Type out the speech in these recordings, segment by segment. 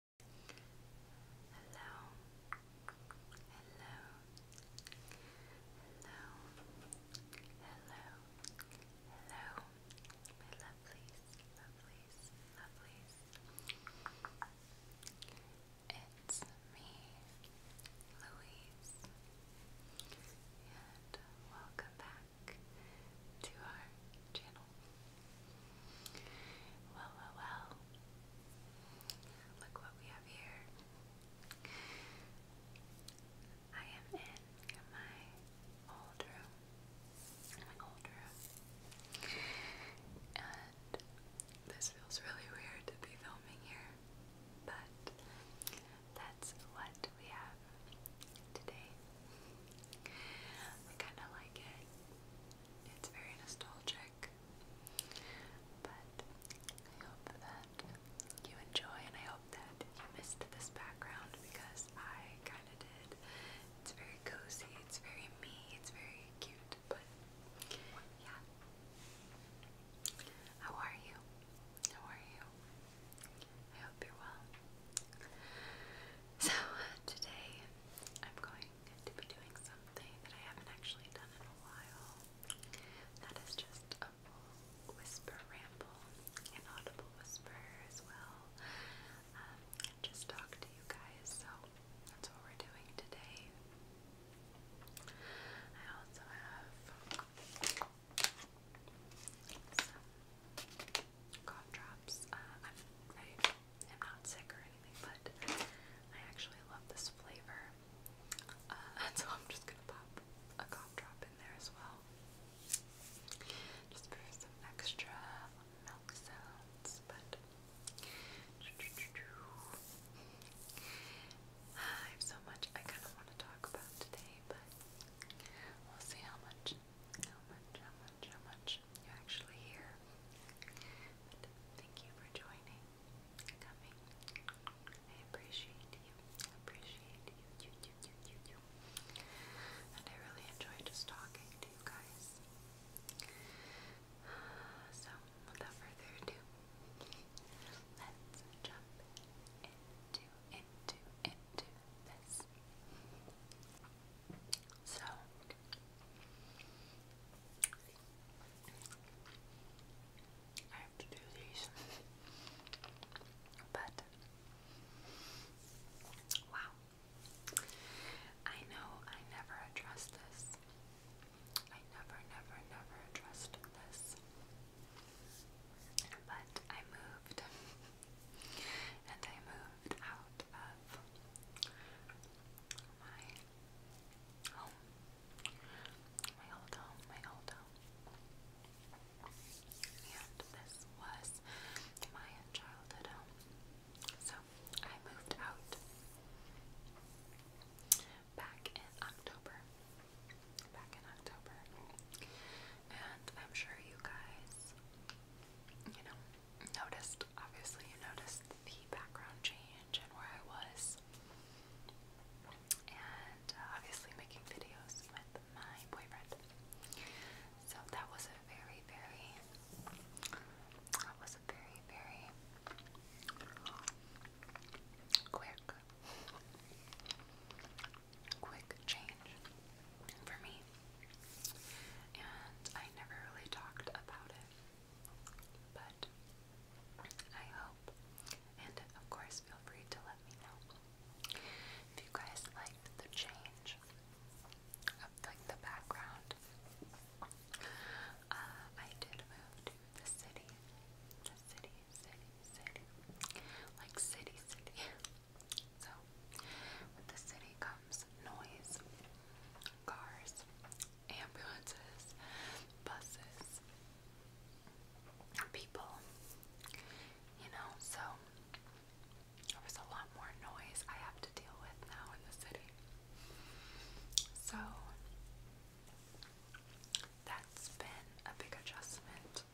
Hello. Hello. Hello. Hello. Hello. My lovelies, lovelies, lovelies. It's me, Louise. And welcome back to our channel. Well, well, well. Look what we have here. I am in my old room. My old room. And this feels really weird to be filming here. But that's what we have today. I kind of like it. It's very nostalgic. But I hope that you enjoy and I hope that you missed this background because I kind of did. It's very cozy, it's very me, it's very cute, but yeah. How are you? How are you? I hope you're well. So, today I'm going to be doing something that I haven't actually done in a while. That is just a whisper ramble, an audible whisper as well. Um, just talk to you guys, so that's what we're doing today. I also have cough drops. Uh, am not sick or anything, but I actually love this flavor. Uh, so I'm just gonna pop a cough in there as well. Just for some extra milk sounds, but I have so much I kind of want to talk about today, but we'll see how much how much, how much, how much you're actually here. But thank you for joining, coming. I appreciate you. appreciate you, you, you, you, you, you. And I really enjoy just talking to you guys. So, without further ado, let's jump into, into, into this. So I have to do these. But wow. I know I never addressed this. I never, never, never addressed this. But I moved and I moved out of my home, my old home, my old home. And this was my childhood home. So I moved out back in October. Back in October. And I'm sure you guys, you know, noticed, obviously, you noticed the background change and where I was. And uh, obviously, making videos with my boyfriend. So that was a very, very, that was a very, very quick, quick change for me me. And I never really talked about it. But I hope. And of course, feel free to let me know if you guys liked the change of like the background. Uh, I did move to the city, the city, city, city, like city, city, So, with the city comes noise, cars, ambulances, buses, people, you know, so there a lot more noise I have to deal with now in the city. So, that's been a big adjustment.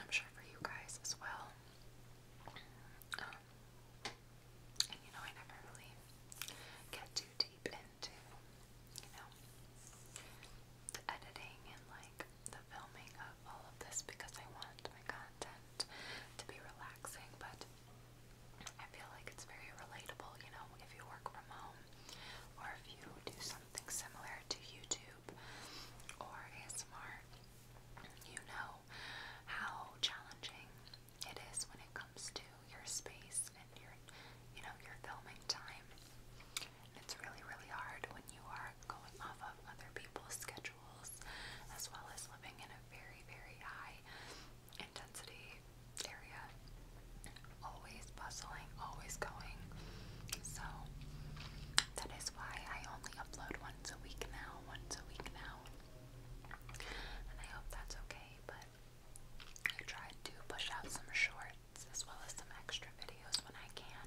I'm sure for you guys as well. Um, and you know, I never really get too deep into, you know, the editing and like the filming of all of this because I want my content to be relaxing, but I feel like it's very relatable, you know, if you work from home or if you do something similar to YouTube YouTube or ASMR, you know how challenging it is when it comes to your space and your, you know, your filming time. And it's really, really hard when you are going off of other people's schedules as well as living in a very, very high intensity area. Always bustling, always going. So that is that's why I only upload once a week now, once a week now. And I hope that's okay, but I tried to push out some shorts as well as some extra videos when I can.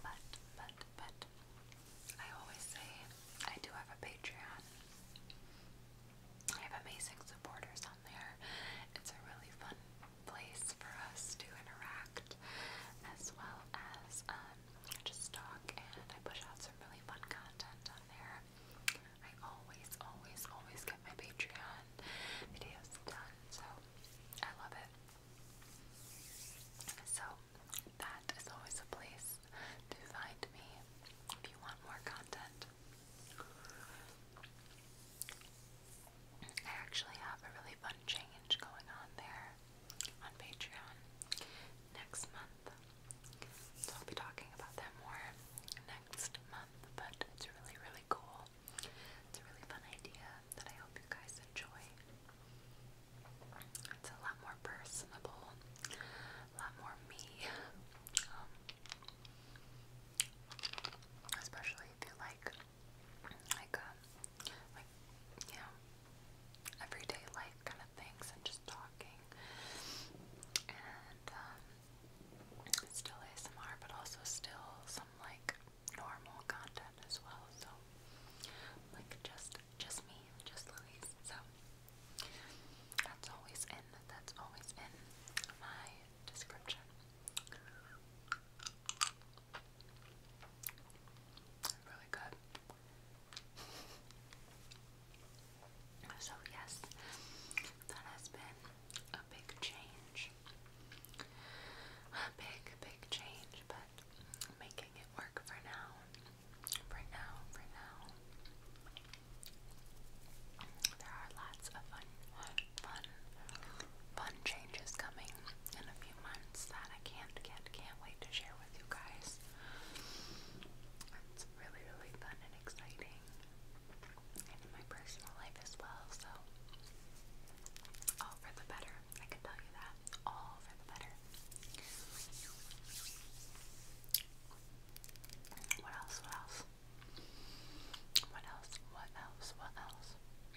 But, but, but, I always say I do have a Patreon. I have amazing supporters on there. It's really fun place for us to interact as well as um, just talk, and I push out some really fun content on there. I always, always, always get my Patreon videos done, so I love it. So, that is always a place to find me if you want more content. I actually have a really fun change going on there on Patreon next month. So I'll be talking about that more next month, but it's really, really cool. It's a really fun idea that I hope you guys enjoy. It's a lot more personable, a lot more me. Um, especially if you like like um, like you everyday life kind of things and just talking and um still ASMR but also still some like normal content as well so like just just me just Louise so that's always in that's always in my description Really good. So, yes, that has been a big change. A big, big change, but making it work for now. For now, for now. There are lots of fun, fun, fun changes coming in a few months that I can't, can can't wait to share with you guys. It's really, really fun and exciting, in my personal life as well. So, all for the better. I can tell you that. All for the better. What else? What else? What else? What else? What else? I,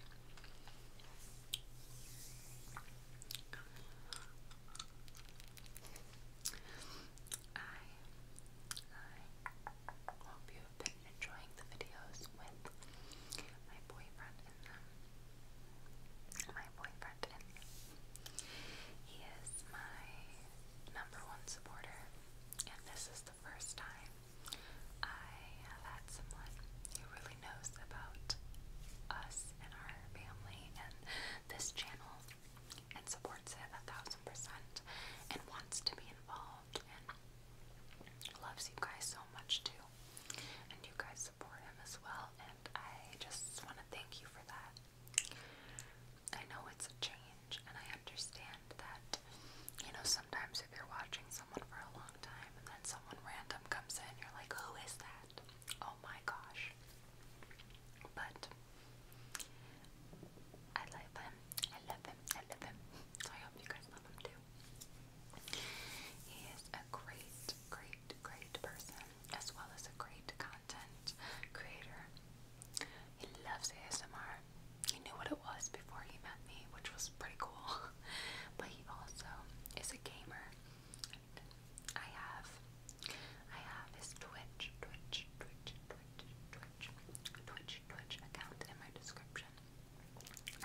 hope you have been enjoying the videos with my boyfriend in them. My boyfriend in He is my number one supporter, and this is the first time I have had someone who really knows about us and our family and this channel and supports it a thousand percent and wants to be involved and loves you guys so much too. And you guys support him as well, and I just want to thank you for that. I know it's a change, and I understand that, you know, some sometimes if you're watching someone for a long time and then someone random comes in, you're like, who is that? Oh my gosh. But I love him. I love him. I love him. So I hope you guys love him too. He is a great, great, great person as well as a great content creator. He loves ASMR. He knew what it was before he met me, which was pretty cool. but he also is a gamer. I have I have his Twitch, Twitch, Twitch, Twitch, Twitch, Twitch, account in my description.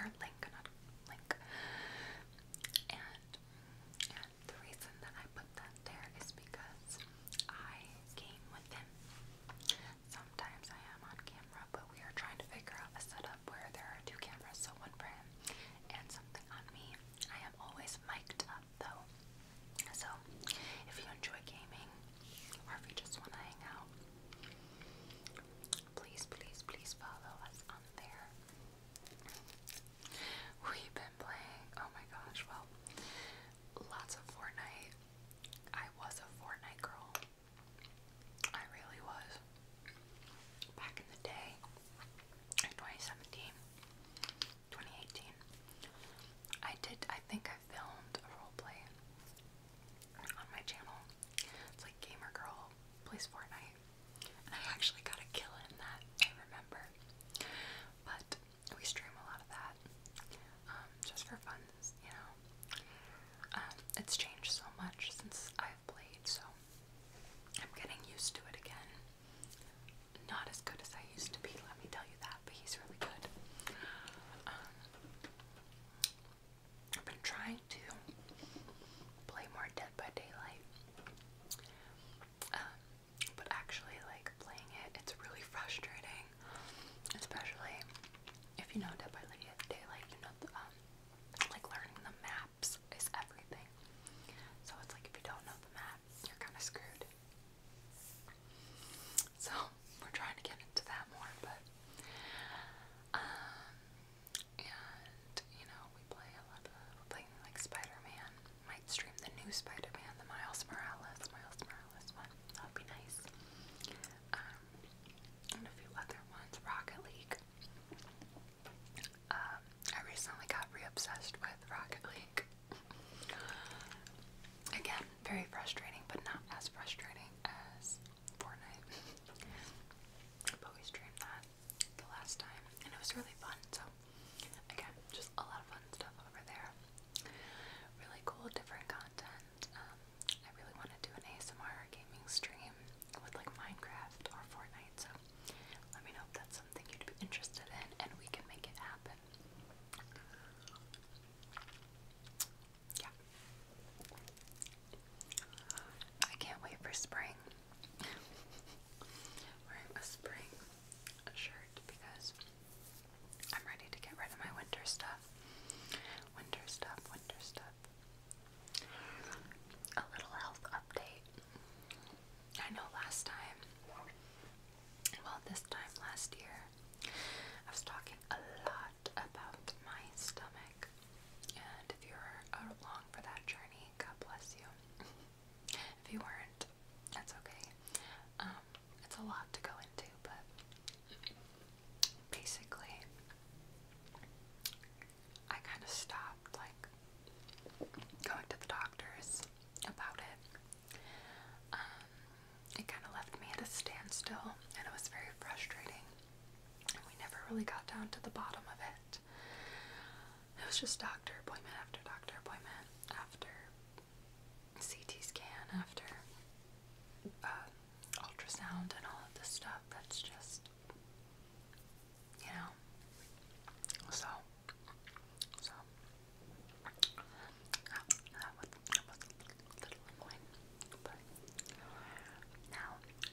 Or link, not link. And the reason that I put that there is because I game with him. Sometimes I am on camera, but we are trying to figure out a setup where there are two cameras, so one for him and something on me. I am always mic'd up though. So if you enjoy gaming or if you just want to hang out, please, please, please follow us on there. We've been playing, oh my gosh, well, lots of Fortnite. I was a Fortnite girl. I really was. Back in the day, in I did, I think I filmed a roleplay on my channel. It's like Gamer Girl plays Fortnite. And I actually got a kill in that, I remember. But we stream a lot of that um, just for fun friends, you know. Um, it's changed so much since I've played, so I'm getting used to it again. Not as good as I used to be, let me tell you that, but he's really good. Um, I've been trying to play more Dead by Daylight. Um, but actually, like playing it, it's really frustrating especially if you know day by day, like you know, the, um, like learning the maps is everything. So it's like if you don't know the map, you're kind of screwed. So we're trying to get into that more, but um, and you know, we play a lot we're playing like Spider-Man. Might stream the new Spider-Man, the Miles Morales, Miles Morales one. That'd be nice. Um, and a few other ones, Rocket League. Um, I recently got re with Rocket League. Again, very frustrating, but not as frustrating as Fortnite. but we streamed that the last time, and it was really fun. So, again, just a lot of fun stuff over there. Really cool, different content and um, I really want to do an ASMR gaming stream with like Minecraft or Fortnite, so let me know if that's something you'd be interested in and we can make it happen. Yeah. I can't wait for spring. Wearing a spring shirt because I'm ready to get rid of my winter stuff. Winter stuff, winter stuff. A little health update. I know last time, well, this time last year, I was talking a lot about my stomach. And if you were along for that journey, God bless you. if you weren't, that's okay. Um, it's a lot to go into, but basically, I kind of stopped like going to the doctors about it. Um, it kind of left me at a standstill, and it was very frustrating. And we never really got down to the bottom of it. It was just doctor appointment after doctor appointment after CT scan after uh, ultrasound and all of this stuff. That's just, you know. So, so now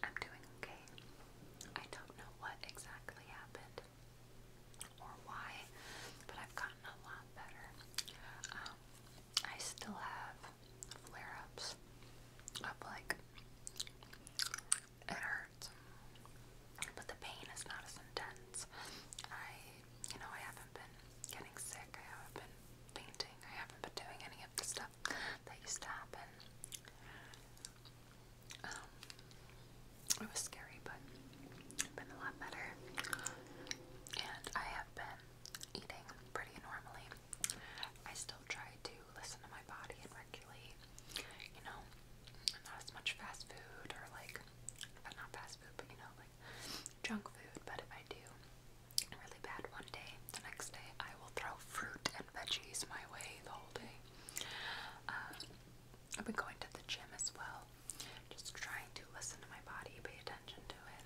I'm doing okay. I don't know what exactly happened or why, but I've gotten a lot better. Um, I still have flare ups of like, it hurts. But the pain is not as intense. I, you know, I haven't been getting sick. I haven't been fainting. I haven't been doing any of the stuff that used to happen. Um, it was scary, but I've been a lot better. And I have been eating pretty normally. I still try to listen to my body and regulate, you know, not as much fast food or like, but uh, not fast food, but you know, like junk food. But if I do really bad one day, the next day I will throw fruit and veggies my way the whole day. Uh, I've been going to the gym as well, just trying to listen to my body, pay attention to it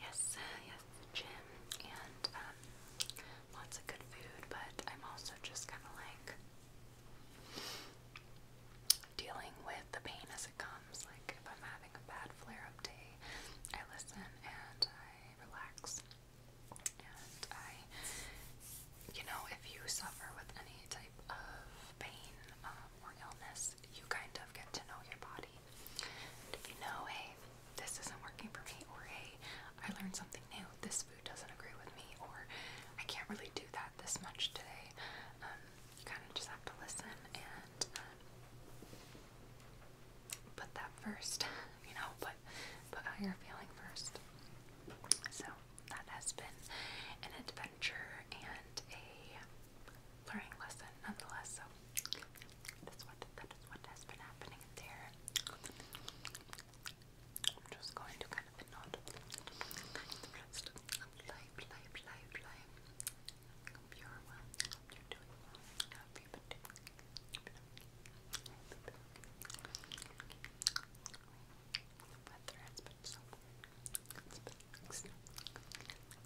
Yes, uh, yes, gym and um, lots of good food, but I'm also just kind of like dealing with the pain as it comes. Like if I'm having a bad flare-up day, I listen and I relax. And I, you know, if you suffer with any type of pain um, or illness, you kind of get to know your body if you know, hey, this isn't working for me, or hey, I learned something new, this food doesn't agree with me, or I can't really do that this much today, um, you kind of just have to listen and um, put that first, you know, put, put how you feeling first. So that has been an adventure and a learning lesson nonetheless. So that's what that is what has been happening there. I'm just going to kind of nod life, life, life, life.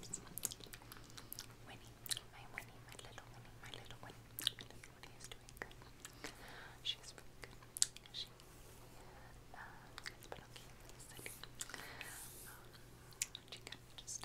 Winnie, my Winnie, my little Winnie, my little Winnie, my little doing She's really good. She uh, okay really sick. Um, she kind of just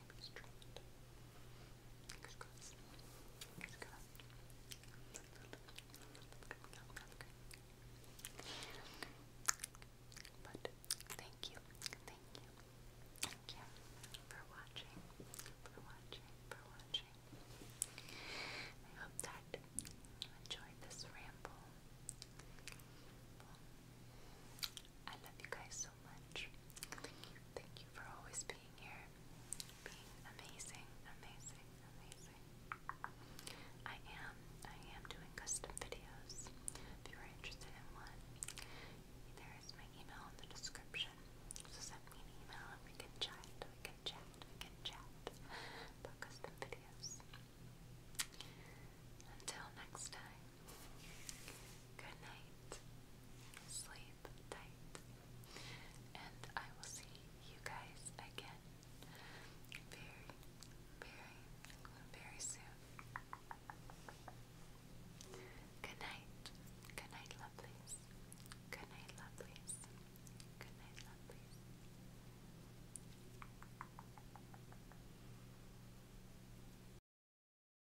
But thank you, thank you, thank you for watching, for watching, for watching. I hope that you enjoyed this ramble. I love you guys so Thank you. Thank you for always being here. Being amazing, amazing, amazing. I am, I am doing custom videos. If you are interested in one, there is my email in the description. So send me an email and we can chat, we can chat, we can chat about custom videos. Until next time. Good night. Sleep tight. And I will see you guys again very, very, very soon. Good night. Good night, lovelies. Good night, lovelies. Good night, lovelies.